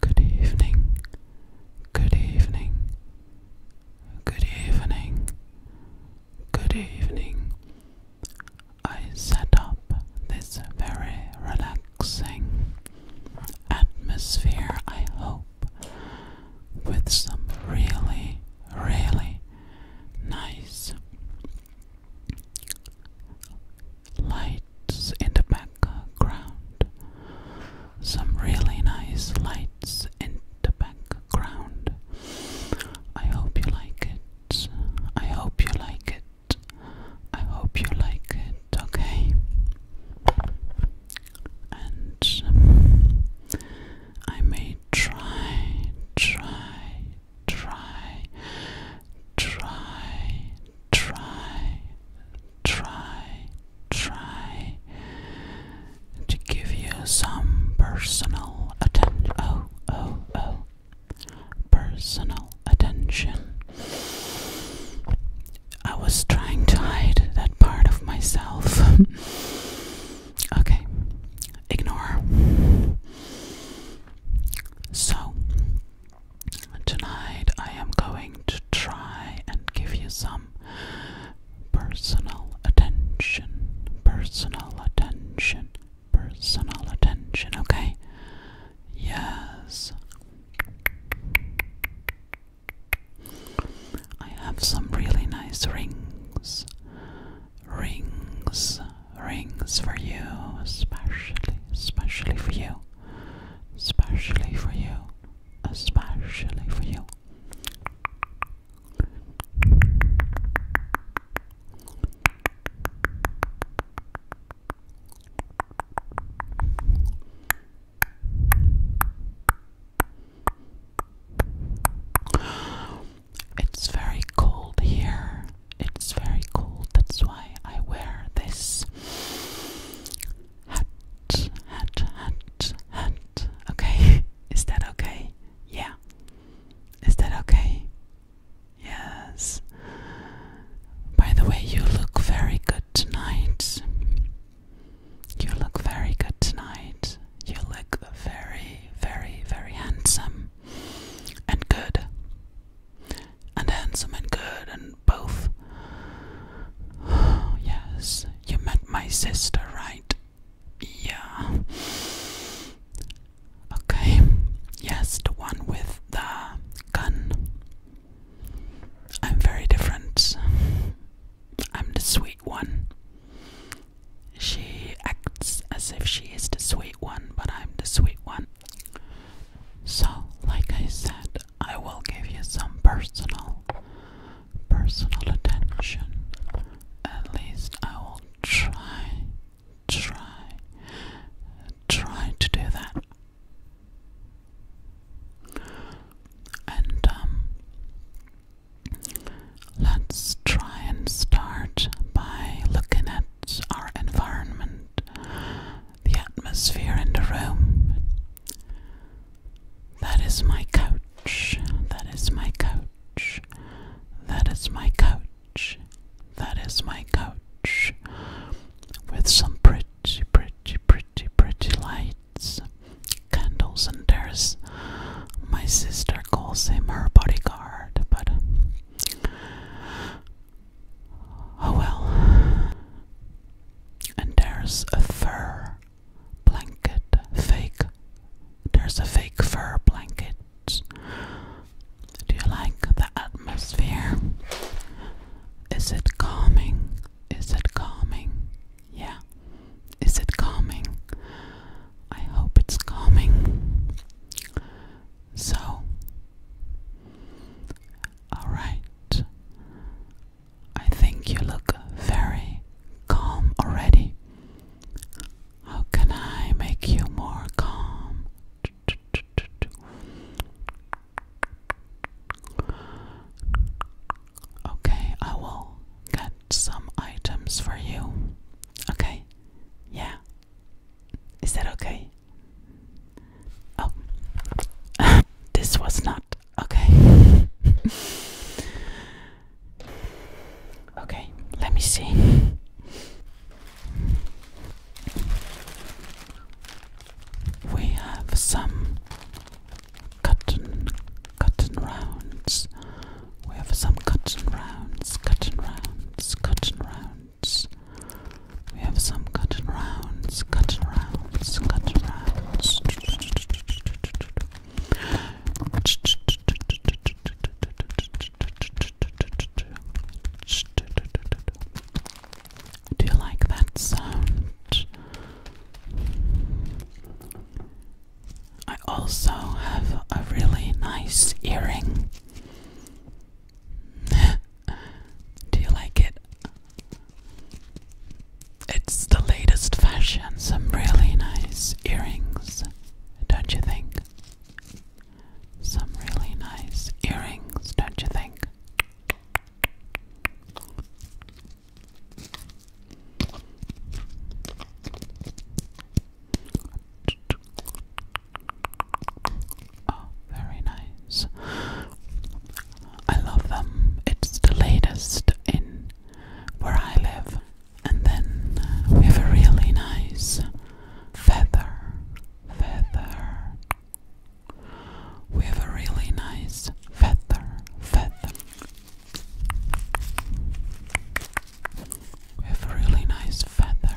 Good evening, good evening, good evening, good evening. I set up this very relaxing atmosphere, I hope, with some really, really nice lights in the background. Some really nice lights in the background. I hope you like it. I hope you like it. I hope you like it, okay? And um, I may try, try, try, try, try, try, try to give you some personal attention. Oh, oh, oh. Personal attention. I was trying to hide that part of myself. okay, ignore. So, Tonight I am going to try and give you some personal attention, personal attention, personal attention, okay? Yes. I have some really nice rings. Rings, rings for you, especially, especially for you. Especially for you. Especially for you. It's very cold here. It's very cold. That's why I wear this this. Hat, hat, hat, Okay, is that okay? Yeah. Is that okay? Yes. By the way, you look very good tonight. You look very good tonight. You look very, very, very handsome and good and handsome and good and both. yes, you met my sister, right? Yeah. Okay, yes, the one with the gun. I'm very different. I'm the sweet one. She acts as if she is the sweet one, but I'm the sweet one. So, like I said, I will give you some personal personal attention. At least I will try try try to do that. And um, let's try and start by looking at our environment, the atmosphere in the room. That is my couch, that is my couch, that is my couch, that is my couch, with some pretty, pretty, pretty, pretty lights, candles, and there's my sister calls him her bodyguard, but Oh well. And there's a fur blanket, fake. There's a fake fur blanket. Do you like the atmosphere? Is it calming? Is it calming? Yeah. Is it calming? I hope it's calming. So, Alright. I think you look very calm already. How can I make you more calm? Okay, I will get some items for you. Okay, yeah, is that okay? Oh, this was not okay. okay, let me see. We have some cotton, cotton rounds. We have some cotton rounds, cotton rounds, cotton rounds. We have some cotton rounds, cotton rounds, cotton rounds. Do you like that sound? I also have a really nice earring. Do you like it? It's the latest fashion, some really nice earrings, don't you think? Some really nice earrings, don't you think? Oh, very nice. I love them. It's the latest in where I live. And then uh, we have a really nice feather. Feather. We have a really nice feather. Feather. We have a really nice feather.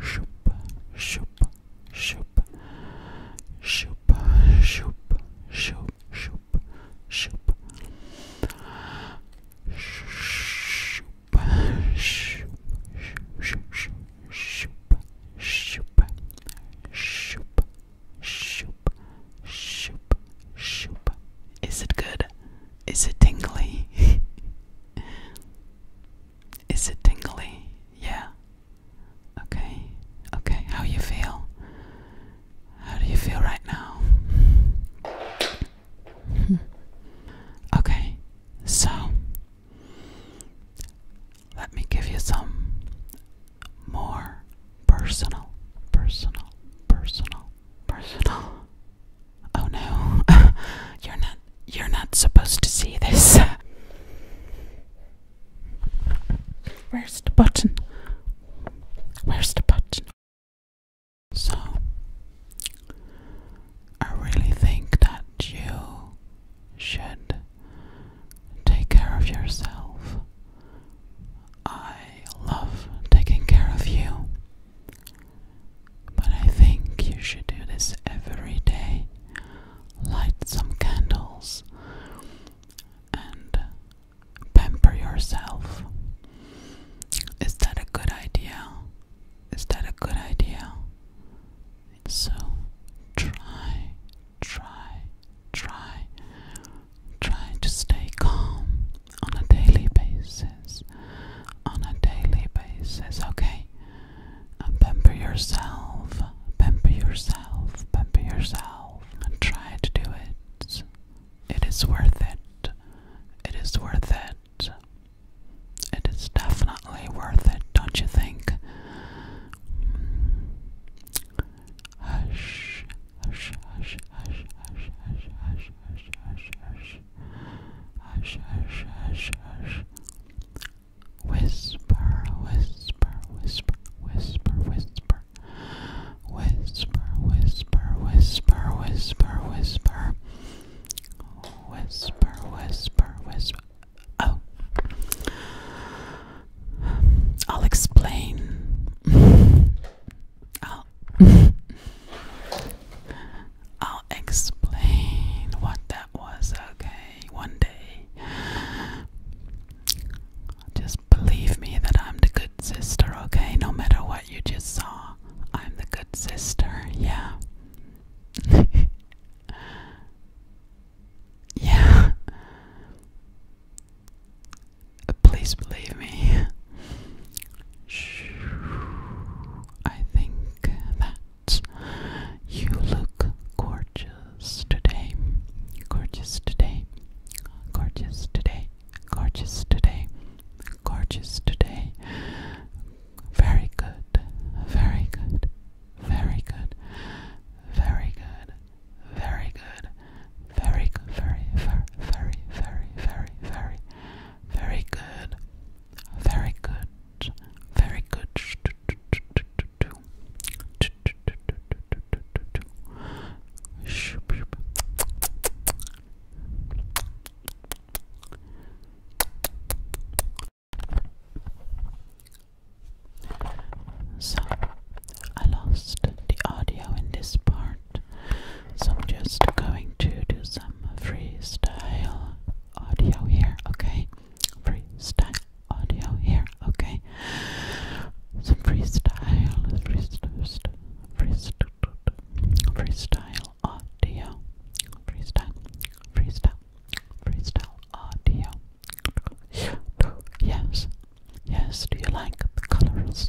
shoop, shoop, shoop, shoop, shoop, shoop, shoop, shoop, Shoop, shoop, shoop. Is it good? Is it tingly? Is it tingly? Yeah. Okay. Okay. How you feel? How do you feel right now? okay. So let me give you some more personal, personal, personal, personal Oh no. you're not you're not supposed to see this. Where's the button? Where's the button? So I really think that you should take care of yourself. I love taking care of you. But I think you should do this every day. Light some candles and pamper yourself. Is that a good idea? Is that a good idea? So try, try, try, try to stay calm on a daily basis. On a daily basis, okay? And uh, pamper yourself, pamper yourself, pamper yourself. And try to do it. It is worth it. It is worth it. It is definitely worth it, don't you think? hush, hush, hush, hush, hush, hush, hush, hush, hush hush, Whisper, whisper, whisper, whisper, whisper. Whisper, whisper, whisper, whisper, whisper. Whisper, whisper, whisper. Oh. I'll explain. I'll I'll, explain what that was, okay? One day. Just believe me that I'm the good sister, okay? No matter what you just saw, I'm the good sister, yeah. yeah. Please believe me. I think that you look gorgeous today. Gorgeous today. Gorgeous today. Gorgeous today. Gorgeous today. Very good. Very good. Very good. Very good. Very good. Very good. Very very very very very very very good. Very good. Very good. So, I lost the audio in this part, so I'm just going to do some freestyle audio here, okay? Freestyle audio here, okay? Some freestyle, freestyle, freestyle, freestyle audio, freestyle, freestyle, freestyle audio. Yes, yes, do you like the colors?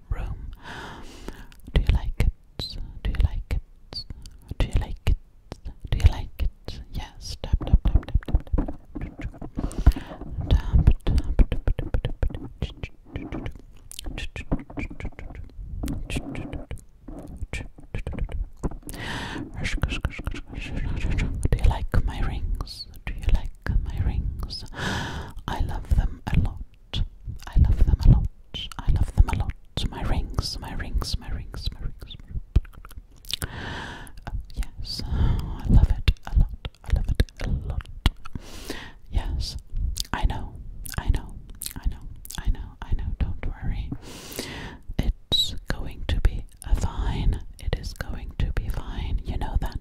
room. Do you like it? Do you like it? Do you like it? Do you like it? Yes. Tap tap tap tap tap tap. Tap tap tap tap do you like my rings? Do you like my rings? I love them a lot. I love them a lot. I love them a lot. My rings, my rings, my rings, my rings. Oh, yes, I love it a lot. I love it a lot. Yes, I know, I know, I know, I know, I know. Don't worry. It's going to be a fine. It is going to be fine. You know that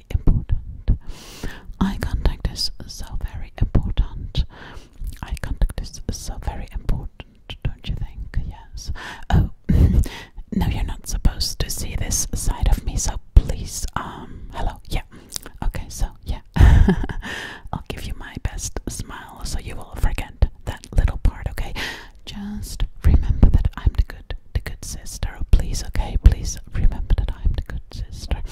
important. Eye contact is so very important. Eye contact is so very important, don't you think? Yes. Oh, no, you're not supposed to see this side of me, so please, um, hello, yeah. Okay, so, yeah. I'll give you my best smile so you will forget that little part, okay? Just remember that I'm the good the good sister. Oh, please, okay? Please remember that I'm the good good sister.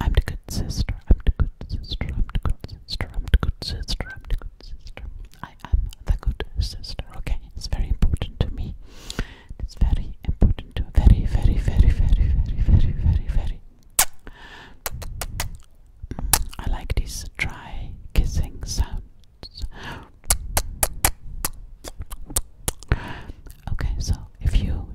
I'm the good sister. I'm the good sister. I'm the good sister. I'm the good sister. I'm the good sister. I am the good sister. Okay, it's very important to me. It's very important to very, very, very, very, very, very, very, very. Mm, I like these dry kissing sounds. Okay, so if you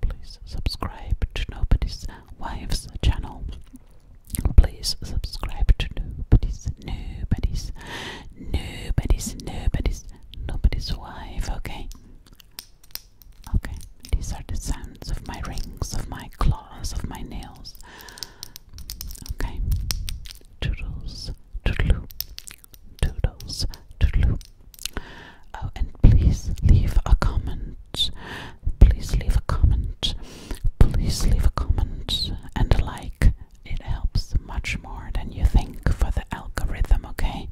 Please subscribe to Nobody's Wife's channel. Please subscribe to Nobody's, Nobody's, Nobody's, Nobody's, Nobody's Wife, okay? Okay, these are the sounds of my rings, of my claws, of my nails. Okay, toodles, toodaloo, toodles, toodaloo. Oh, and please leave a comment. Please leave a comment. Please leave a comment and like. It helps much more than you think for the algorithm, okay?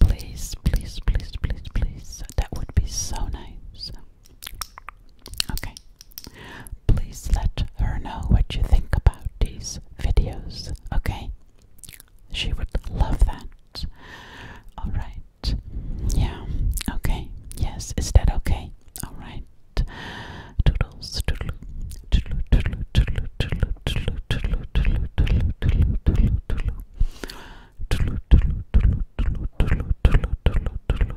Please, please, please, please, please. That would be so nice. Okay. Please let her know what you think about these videos, okay? She would love that. Alright. Yeah. Okay. Yes. Is that okay? All right. Toodles. Toodle. Toodle. Toodle. Toodle. Toodle. Toodle. Toodle. Toodle. Toodle. Toodle.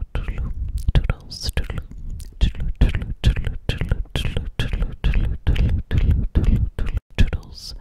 Toodle. Toodle. Toodles